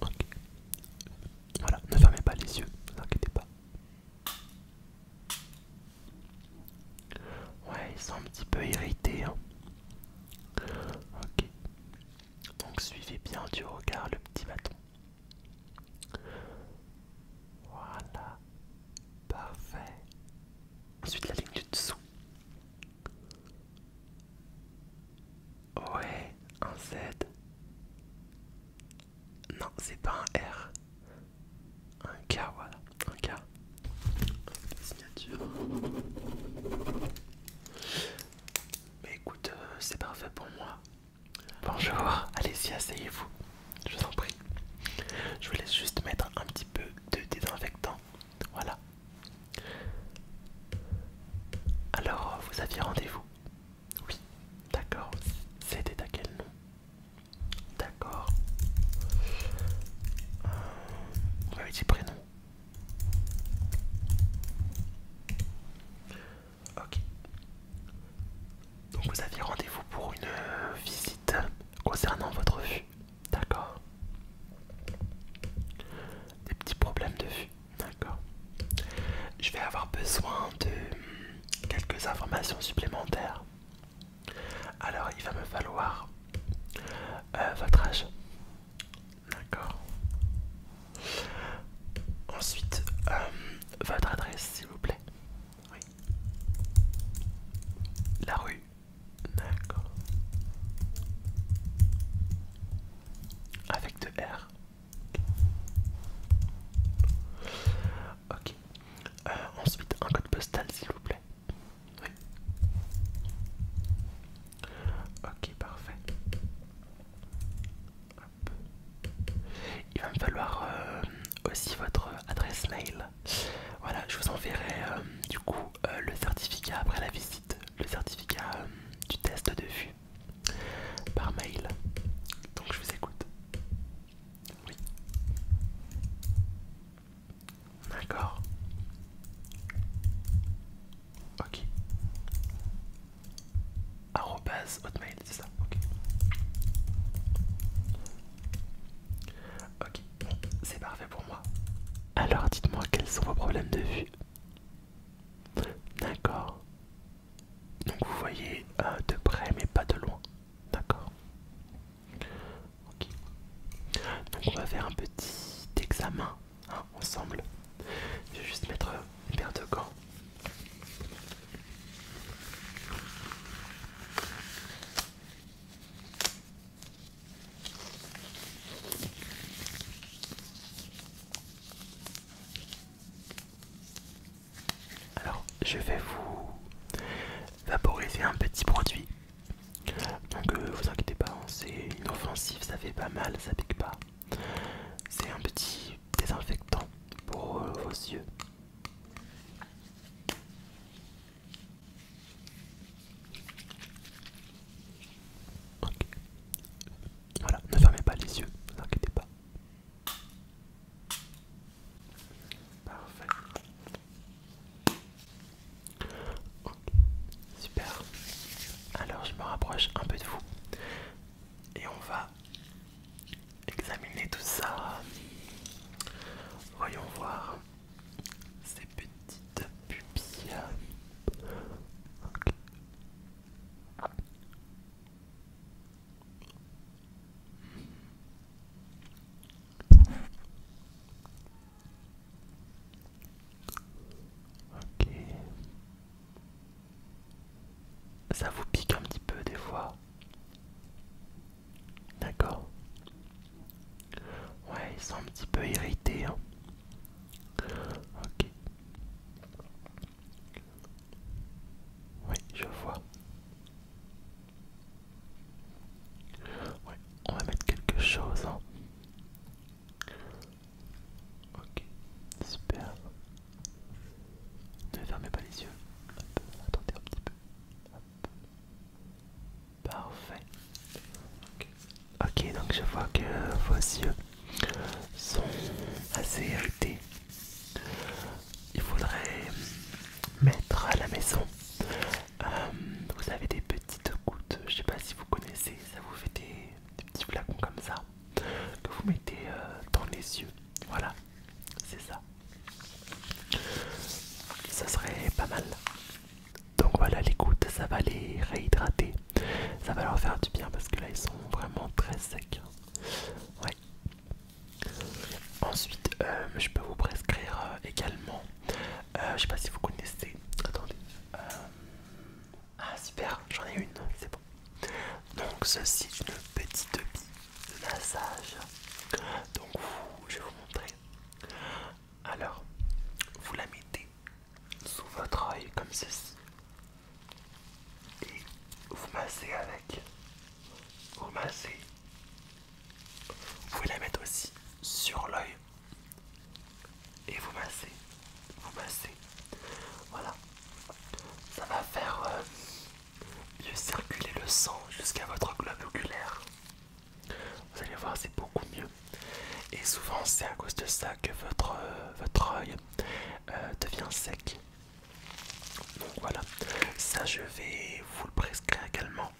Ok. Voilà, ne fermez pas les yeux, ne vous inquiétez pas. Ouais, ils sont un petit peu irrités. Hein. Ok. Donc suivez bien du regard le petit bâton. Voilà. Parfait. Ensuite la ligne du dessous. Ouais, un Z. Non, c'est pas un R. Un K, voilà. Un K. Signature. Mais écoute, euh, c'est parfait pour moi. Bonjour, allez-y, asseyez-vous. Je vous en prie. Je vous laisse juste mettre un petit peu de désinfectant. Voilà. Alors, vous aviez rendez-vous Oui, d'accord. C'était à quel nom D'accord. On vous lui dit prénom Ok. Donc vous aviez rendez-vous pour une visite concernant votre vue. D'accord. Des petits problèmes de vue. D'accord. Je vais avoir besoin de quelques informations supplémentaires. Alors, il va me falloir euh, votre âge. D'accord. Ensuite, euh, votre adresse, s'il vous plaît. Oui. La rue. D'accord. Avec deux R. Ok. Euh, ensuite, un code postal, s'il vous plaît. Oui. Ok, parfait. Il va me falloir euh, aussi votre adresse mail. Voilà, je vous enverrai euh, du coup euh, le certificat après la visite, le certificat euh, du test de vue par mail. Donc je vous écoute. Oui. D'accord. Ok. Arrobase hotmail, c'est ça. Ok. Ok. C'est parfait pour moi. Alors dites-moi quels sont vos problèmes de vue. D'accord. Donc vous voyez euh, de près mais pas de loin. D'accord. Ok. Donc on va faire un petit examen hein, ensemble. Je vais juste mettre une paire de gants. Alors, je vais vous vaporiser un petit produit. Donc, euh, vous inquiétez pas, hein, c'est inoffensif, ça fait pas mal, ça pique pas. C'est un petit désinfectant pour euh, vos yeux. Ok. Voilà, ne fermez pas les yeux, ne vous inquiétez pas. Parfait. Ok, super. Alors je me rapproche un peu de vous et on va examiner tout ça. Voyons voir. Ces petites pupilles. ok ça vous pique un petit peu des fois d'accord Ouais, ils sont un petit peu irrités. Hein. Ok. Oui, je vois. Ouais, on va mettre quelque chose. Hein. Ok, super. Ne fermez pas les yeux. attendez un petit peu. Parfait. Ok, donc je vois que vos yeux sont assez irrités. Il faudrait mettre à la maison. Euh, vous avez des petites gouttes, je sais pas si vous connaissez, ça vous fait des, petits flacons comme ça que vous mettez euh, dans les yeux. Voilà, c'est ça. Ça serait pas mal. Donc voilà, l'écoute, ça va les réhydrater. Ça va leur faire du bien parce que là, ils sont vraiment très secs. Ouais. Ensuite, euh, je peux vous prescrire euh, également. Euh, je sais pas si vous connaissez. Attendez. Ah, super, j'en ai une, c'est bon. Donc, ceci est une petite bille de massage. Donc, je vais vous montrer. Alors, vous la mettez sous votre œil comme ceci. Et vous massez avec. Vous massez. Vous pouvez la mettre aussi sur l'œil. Et vous massez. Vous massez. Voilà. Ça va faire euh, mieux circuler le sang jusqu'à votre globe oculaire. Vous allez voir, c'est beaucoup mieux. Et souvent, c'est à cause de ça que votre, euh, votre œil euh, devient sec. Donc voilà, ça je vais vous le prescrire également.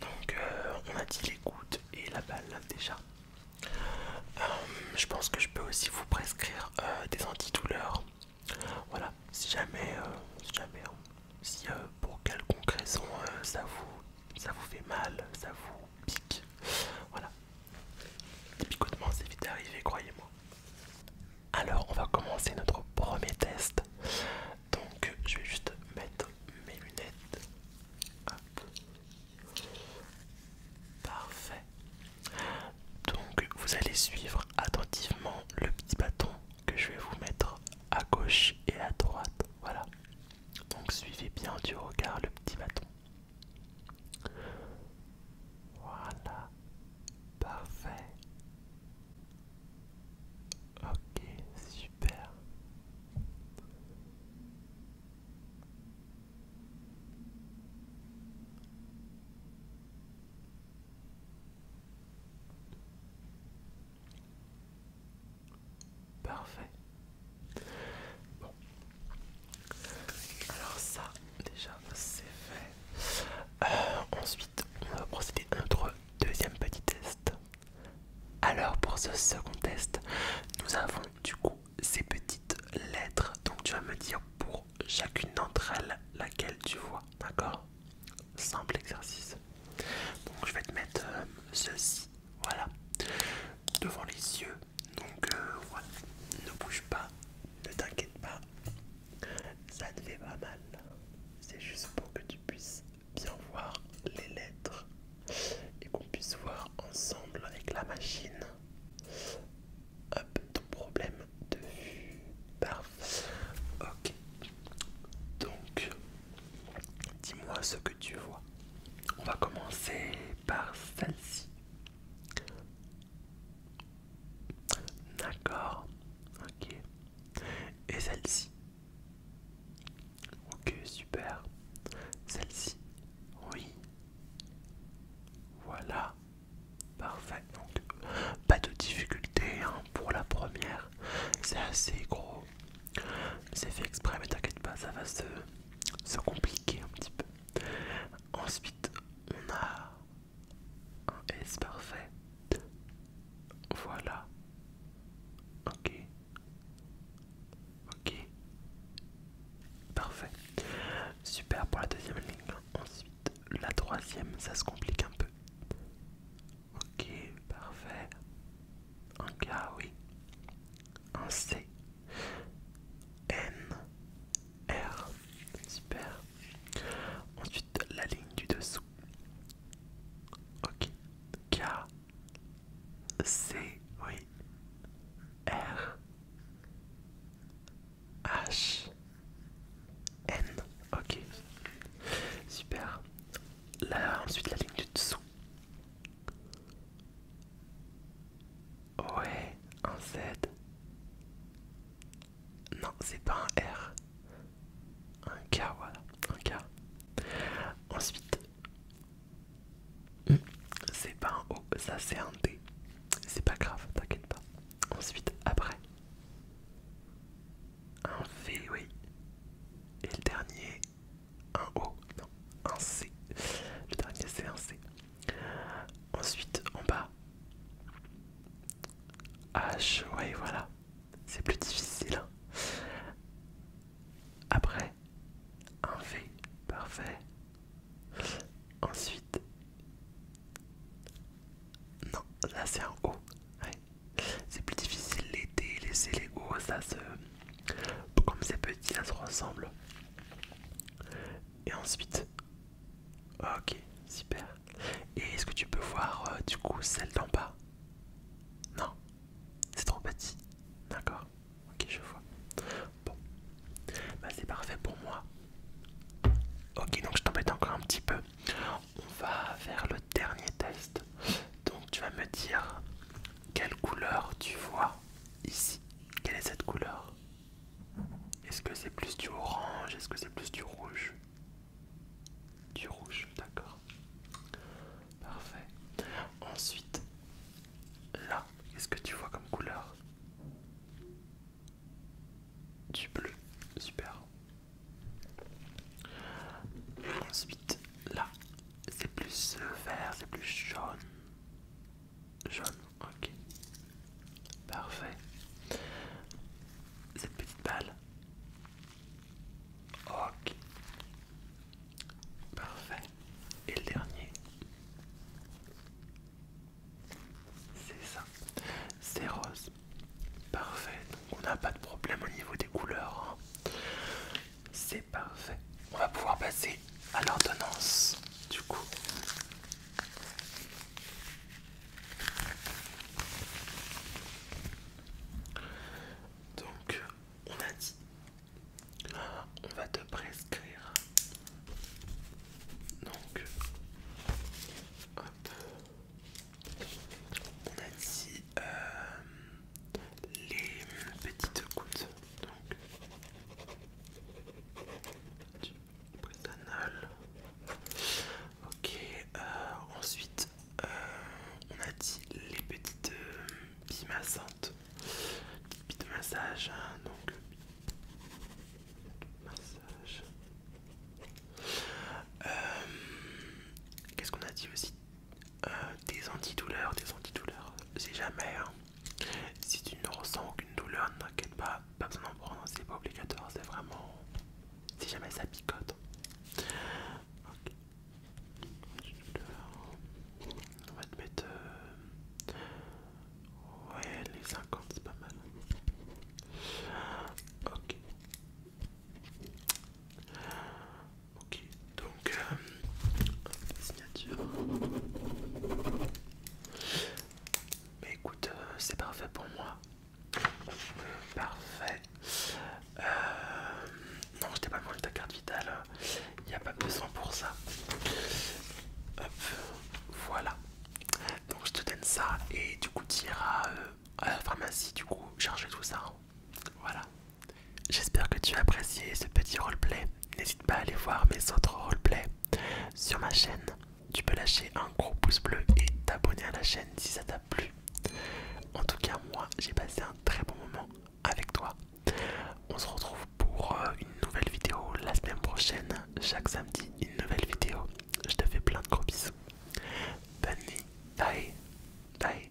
Donc euh, on a dit les gouttes et la balle déjà. je pense que je peux aussi vous prescrire des antidouleurs. Voilà, si jamais, si jamais, hein. si pour quelconque raison ça vous ça vous fait mal, ça vous pique. Voilà. les picotements, c'est vite arrivé, croyez-moi. Alors, on va commencer notre premier test. Donc, je vais juste mettre mes lunettes. Hop. Parfait. Donc, vous allez suivre attentivement le petit bâton que je vais vous mettre à gauche et à droite. Voilà. Donc suivez bien du regard le petit bâton. Voilà. Parfait. Ok, super. Parfait. Bon. Alors ça, déjà, c'est fait. Euh, ensuite, on va procéder à notre deuxième petit test. Alors pour ce second test, nous avons du coup ces petites lettres. Donc tu vas me dire pour chacune d'entre elles laquelle tu vois. D'accord Simple exercice. Donc je vais te mettre euh, ceci voilà. Devant les yeux. Donc euh, voilà. Ne bouge pas. Ne t'inquiète pas. Ça ne fait pas mal. C'est juste pour que tu puisses bien voir les lettres. Et qu'on puisse voir ensemble avec la machine. Hop, ton problème de vue. Parfait. Ok. Donc, Dis-moi ce que tu vois. On va commencer par celle-ci. D'accord. Ok. Et celle-ci. Ok, super. Celle-ci. Oui. Voilà. Parfait. Donc, pas de difficulté hein, pour la première. C'est assez gros. C'est fait exprès, mais t'inquiète pas, ça va se, se compliquer un petit peu. Ensuite, on a un S parfait. Voilà. Ok. Ok. Parfait. Super pour la deuxième ligne. Ensuite, la troisième, ça se complique un peu. Ok, parfait. Un K, oui. Un C. N. R. Super. Ensuite, la ligne du dessous. Ok. K. C. Oui. R. H. N. Ok. Super. Là, ensuite, la ligne du dessous. Ouais, un Z. Non, c'est pas un R. Un K, voilà. Un K. Ensuite, hmm, c'est pas un O, ça c'est un D. C'est pas grave, t'inquiète pas. Ensuite, après, un V, oui. Et le dernier, un O, non, un C. Le dernier c'est un C. Ensuite en bas, H, oui voilà, c'est plus difficile. Hein. Après, un V, parfait. Ensuite, non, là c'est un O. C'est plus difficile les D, les C, les O, ça se, comme c'est petit, ça se ressemble. Et ensuite, ah, ok, super. Et est-ce que tu peux voir euh, du coup celle d'en bas Non, c'est trop petit. D'accord, ok, je vois. Bon, bah c'est parfait pour moi. Ok, donc je t'embête encore un petit peu. On va faire le dernier test. Donc tu vas me dire quelle couleur tu vois ici Quelle est cette couleur Est-ce que c'est plus du orange Est-ce que c'est plus du rouge Du rouge, d'accord. Parfait. Ensuite, là, qu'est-ce que tu vois comme couleur Du bleu, super. Ensuite, là, c'est plus euh, vert, c'est plus jaune. Jaune, ok. Parfait. Cette petite balle. Ok. Parfait. Et le dernier. C'est ça. C'est rose. Parfait. on n'a pas de problème au niveau des couleurs. Hein. C'est parfait. On va pouvoir passer à l'ordonnance du coup. Donc, on a dit, on va te prescrire. Donc, on a dit, euh, les petites gouttes. Donc, du Ok, euh, ensuite euh, on a dit les petites euh, pimassantes massantes, petites de massage. Hein, donc, massage. Qu'est-ce qu'on a dit aussi euh, des antidouleurs, des antidouleurs. Si jamais, hein. si tu ne ressens aucune douleur, t'inquiète pas, pas besoin d'en prendre, hein, c'est pas obligatoire, c'est vraiment. Si jamais ça picote. Ok. On va te mettre. Euh, ouais, les 50, c'est pas mal. Ok. Ok, donc euh, Mais écoute, euh, c'est parfait pour moi. Parfait. Euh, non, je t'ai pas demandé ta carte vitale. Hein. Il n'y a pas besoin pour ça. Hop, voilà. Donc je te donne ça et du coup tu iras euh, à la pharmacie du coup charger tout ça. Hein. Voilà. J'espère que tu as apprécié ce petit roleplay. N'hésite pas à aller voir mes autres roleplays sur ma chaîne. Tu peux lâcher un gros pouce bleu et t'abonner à la chaîne si ça t'a plu. En tout cas, moi, j'ai passé un très bon moment avec toi. On se retrouve pour euh, une nouvelle vidéo la semaine prochaine. Chaque samedi, une nouvelle vidéo. Je te fais plein de gros bisous. Bonne nuit. Bye. Bye.